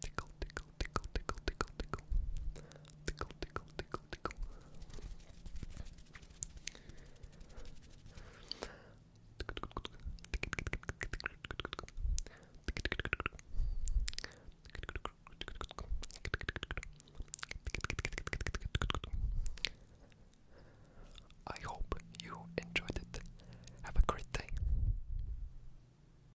tickle, tickle, tickle, tickle, tickle, tickle, tickle, tickle, tickle, tickle. I hope you enjoyed it. Have a great day.